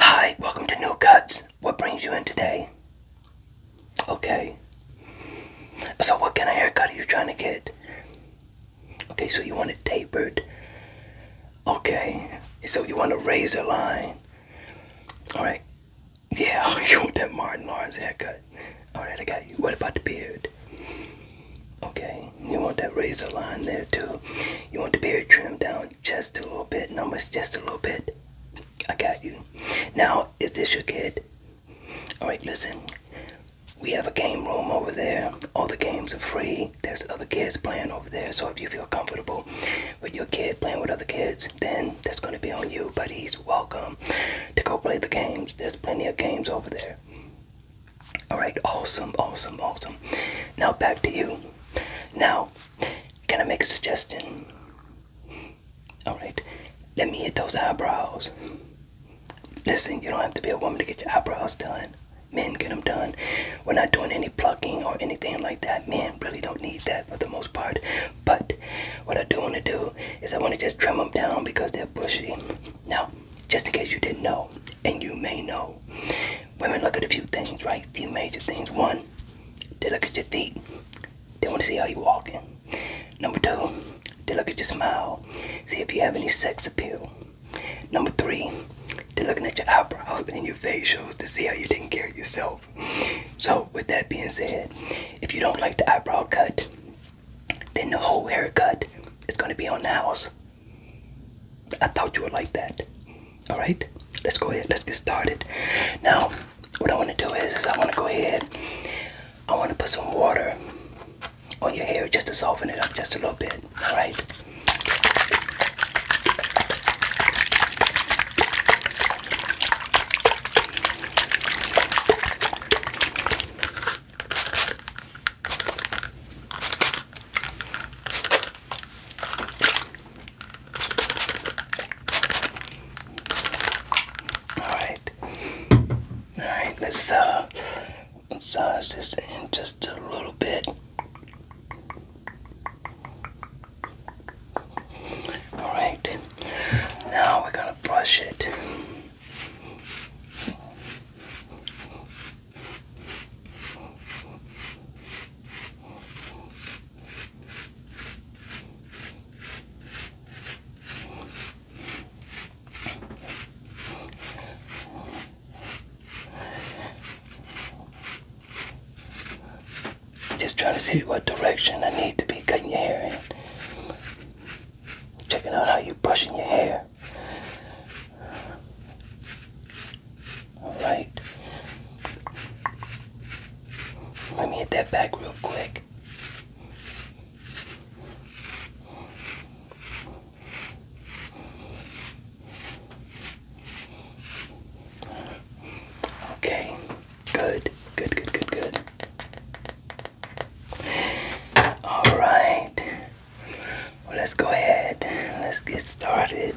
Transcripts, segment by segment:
Hi, welcome to New Cuts. What brings you in today? Okay. So, what kind of haircut are you trying to get? Okay, so you want it tapered. Okay, so you want a razor line. Alright. Yeah, you want that Martin Lawrence haircut. Alright, I got you. What about the beard? Okay, you want that razor line there too. You want the beard trimmed down just a little bit, numbers just a little bit. I got you. Now, is this your kid? Alright, listen. We have a game room over there. All the games are free. There's other kids playing over there. So if you feel comfortable with your kid playing with other kids, then that's going to be on you. But he's welcome to go play the games. There's plenty of games over there. All right, awesome, awesome, awesome. Now back to you. Now, can I make a suggestion? Alright, let me hit those eyebrows. Listen, you don't have to be a woman to get your eyebrows done. Men get them done. We're not doing any plucking or anything like that. Men really don't need that for the most part. But what I do want to do is I want to just trim them down because they're bushy. Now, just in case you didn't know, and you may know, women look at a few things, right? A few major things. One, they look at your feet. They want to see how you're walking. Number two, they look at your smile. See if you have any sex appeal. Number three, they're looking at your eyebrows and your facials to see how you are taking care of yourself. So, with that being said, if you don't like the eyebrow cut, then the whole haircut is going to be on the house. I thought you would like that. All right, let's go ahead. Let's get started. Now, what I want to do is, is I want to go ahead. I want to put some water on your hair just to soften it up just a little bit. All right. Alright. Alright, let's uh massage this in just a little bit. Alright. Now we're gonna brush it. Just trying to see what direction I need to be cutting your hair in. Checking out how you're brushing your hair. All right. Let me hit that back real quick. Okay. Good. Good, good, good, good. All right. let's go ahead. Let's get started.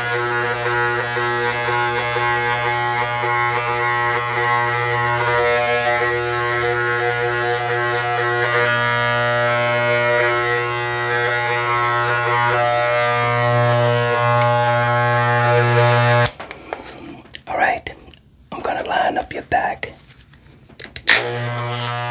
All right, I'm gonna line up your back.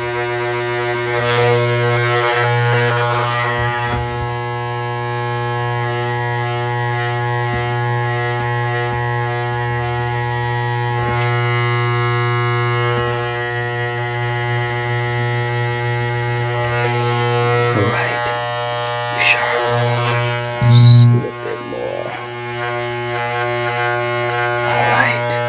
Right. Sure. Just a little bit more. All right.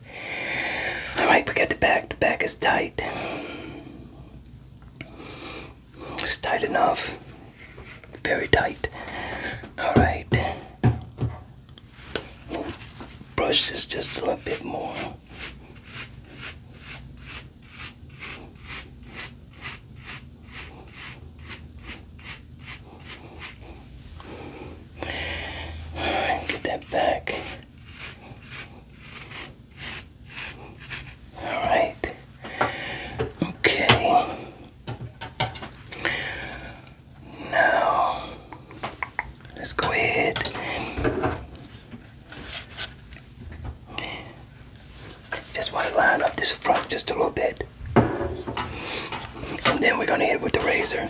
all right, we got the back. The back is tight. It's tight enough. Very tight. All brush this just a little bit more. All right, get that back. Alright. Okay. Now, let's go ahead. Just want to line up this front just a little bit. And then we're going to hit it with the razor.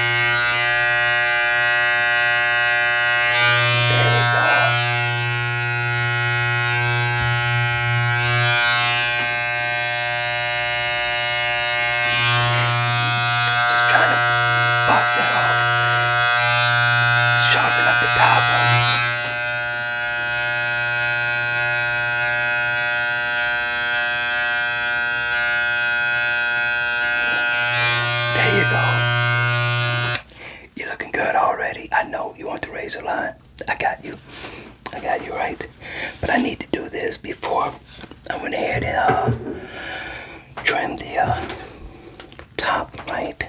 Just trying to box that off. Sharpen up the top of it. There you go. You're looking good already. I know you want the raise a line. I got you. I got you right. But I need to do this before I went ahead and uh, trim the uh, top right.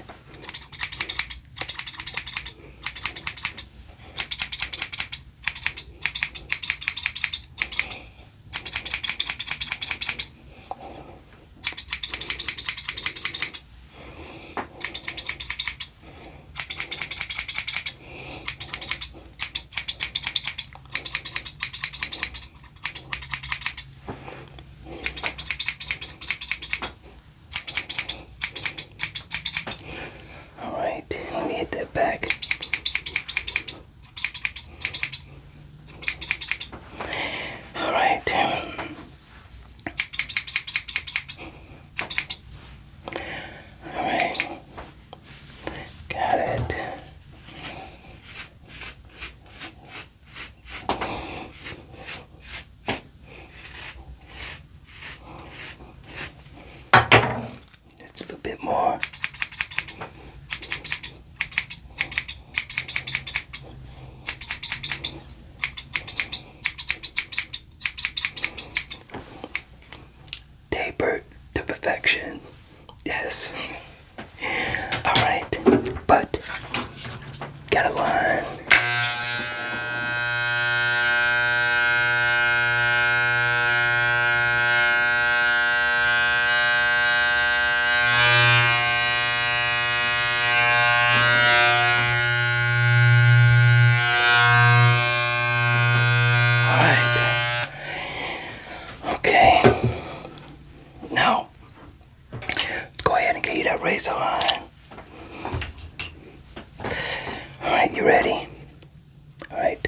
All right, let me hit that back. All right. All right. Got it. Just a little bit more. Tapered to perfection. Yes. Alright. But got to learn. Alright. Okay. Now, go ahead and get you that razor Alright, you ready? Alright.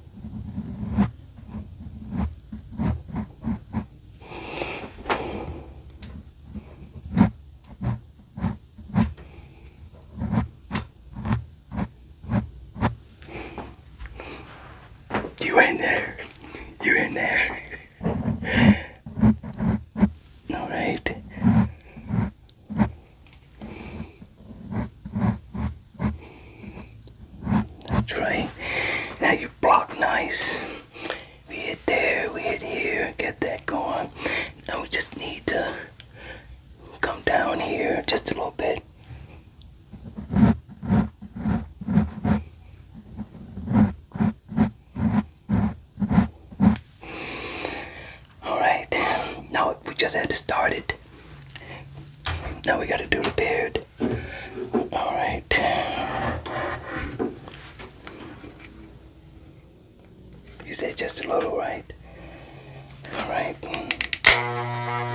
You in there? You in there? All right. That's right. Now you block nice. We hit there, we hit here, get that going. Now we just need to come down here just a little bit. Alright, now we just had to start it. Now we gotta do the beard. All right. You said just a little, right? All right.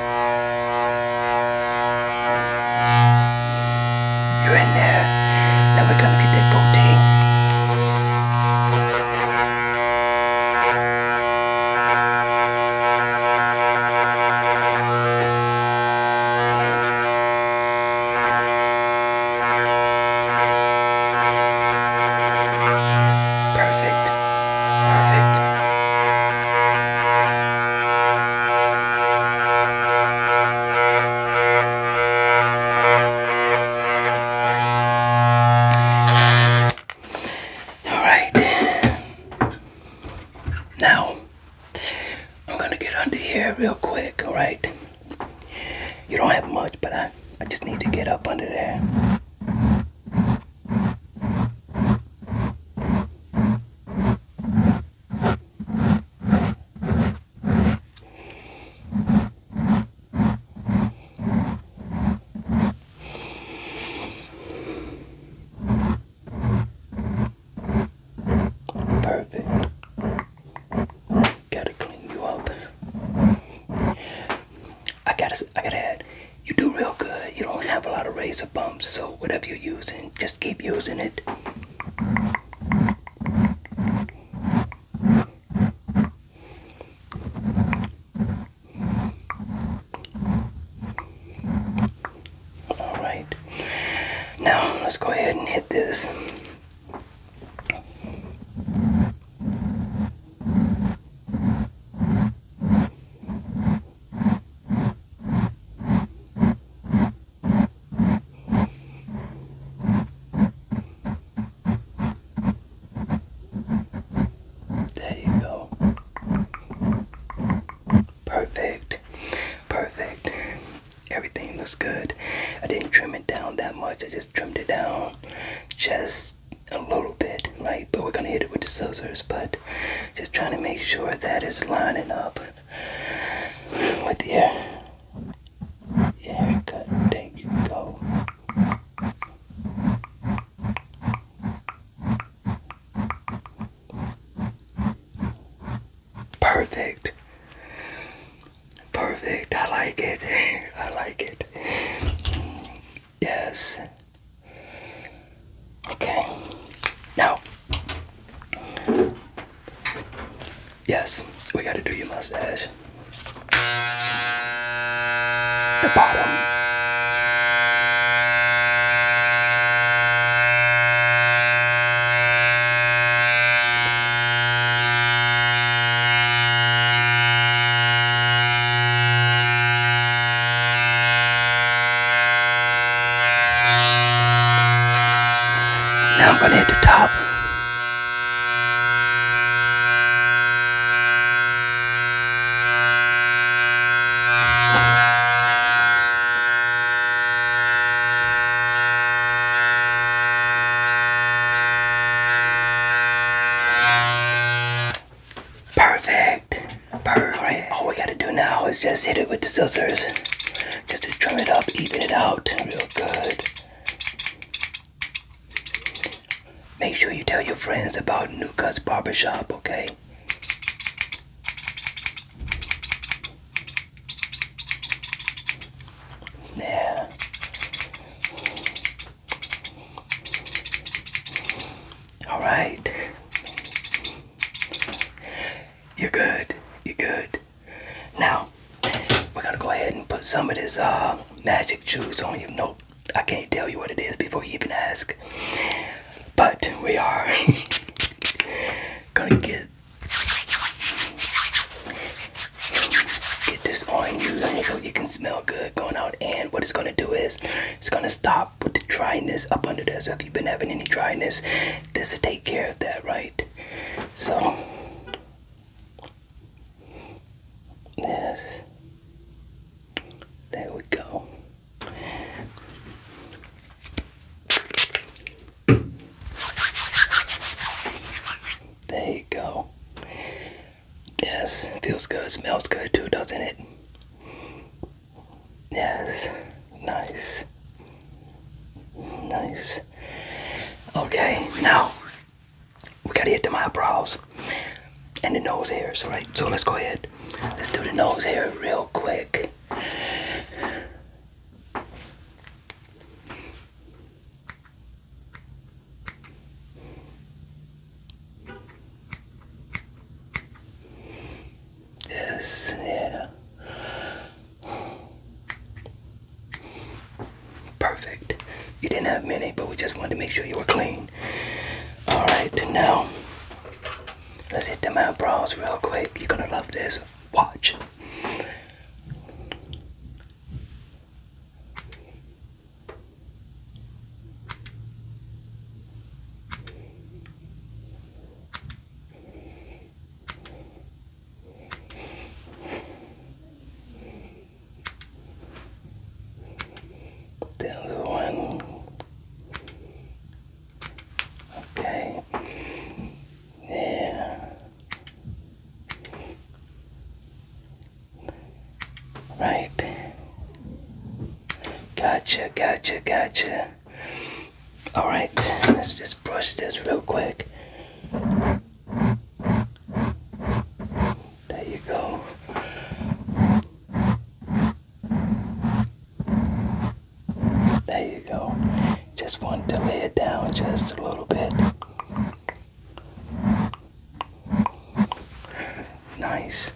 You in there? Now we're gonna get that goatee. Perfect. Perfect. Alright. Now, I'm gonna get under here real quick, alright? You don't have much, but I, I just need to get up under there. Perfect. Gotta clean you up. I gotta, I gotta add. You do real good. You don't have a lot of razor bumps, so whatever you're using, just just keep using it. All right. Now, let's go ahead and hit this. There you go. Perfect. Perfect. Everything looks good. I didn't trim it down that much. I just trimmed it down just a little bit, right? But we're gonna hit it with the scissors, but just trying to make sure that is lining up with your, your haircut. There you go. Perfect. Perfect. I like it. I like it. Yes. Okay. Now. Yes, we gotta do your mustache. The bottom. Now I'm gonna hit the top. Perfect. All right. All we gotta do now is just hit it with the scissors. Just to trim it up, even it out real good. Make sure you tell your friends about Nuka's Barbershop, okay? Yeah. All right you're good. You're good. Now, we're gonna go ahead and put some of this uh, magic juice on you. Nope, I can't tell you what it is before you even ask. But we are gonna get get this on you so you can smell good going out. And what it's gonna do is it's gonna stop with the dryness up under there. So if you've been having any dryness, this will take care of that, right? So, yes, there we go. There you go. Yes, feels good, smells good too, doesn't it? Yes. Nice. Nice. Okay, now we gotta hit the eyebrows and the nose hairs, right? So let's go ahead. Let's do the nose hair real quick. ですね Perfect. You didn't have many, but we just wanted to make sure you were clean. Alright, now let's hit the them eyebrows real quick. You're gonna love this. Watch. The other one. Okay. Yeah. Right. Gotcha, gotcha, gotcha. All right, let's just brush this real quick. There you go. There you go. Just want to lay it down just a little bit. Nice.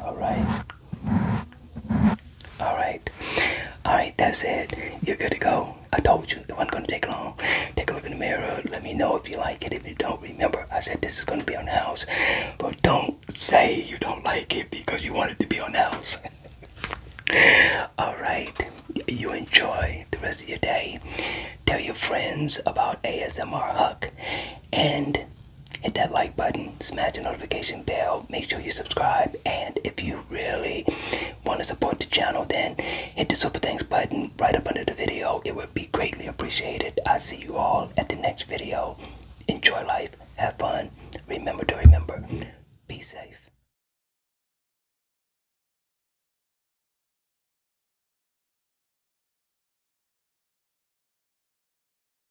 All right. All right. All right. That's it. You're good to go. I told you it wasn't gonna take long. Take a look in the mirror. Let me know if you like it. If you don't, remember I said this is gonna be on the house, but don't say you don't like it because you want it to be on the house. All right. You enjoy the rest of your day. Tell your friends about ASMR hook, and hit that like button, smash the notification bell, make sure you subscribe, and if you really want to support the channel, then hit the super thanks button right up under the video. It would be greatly appreciated. I see you all at the next video. Enjoy life, have fun, remember to remember, be safe.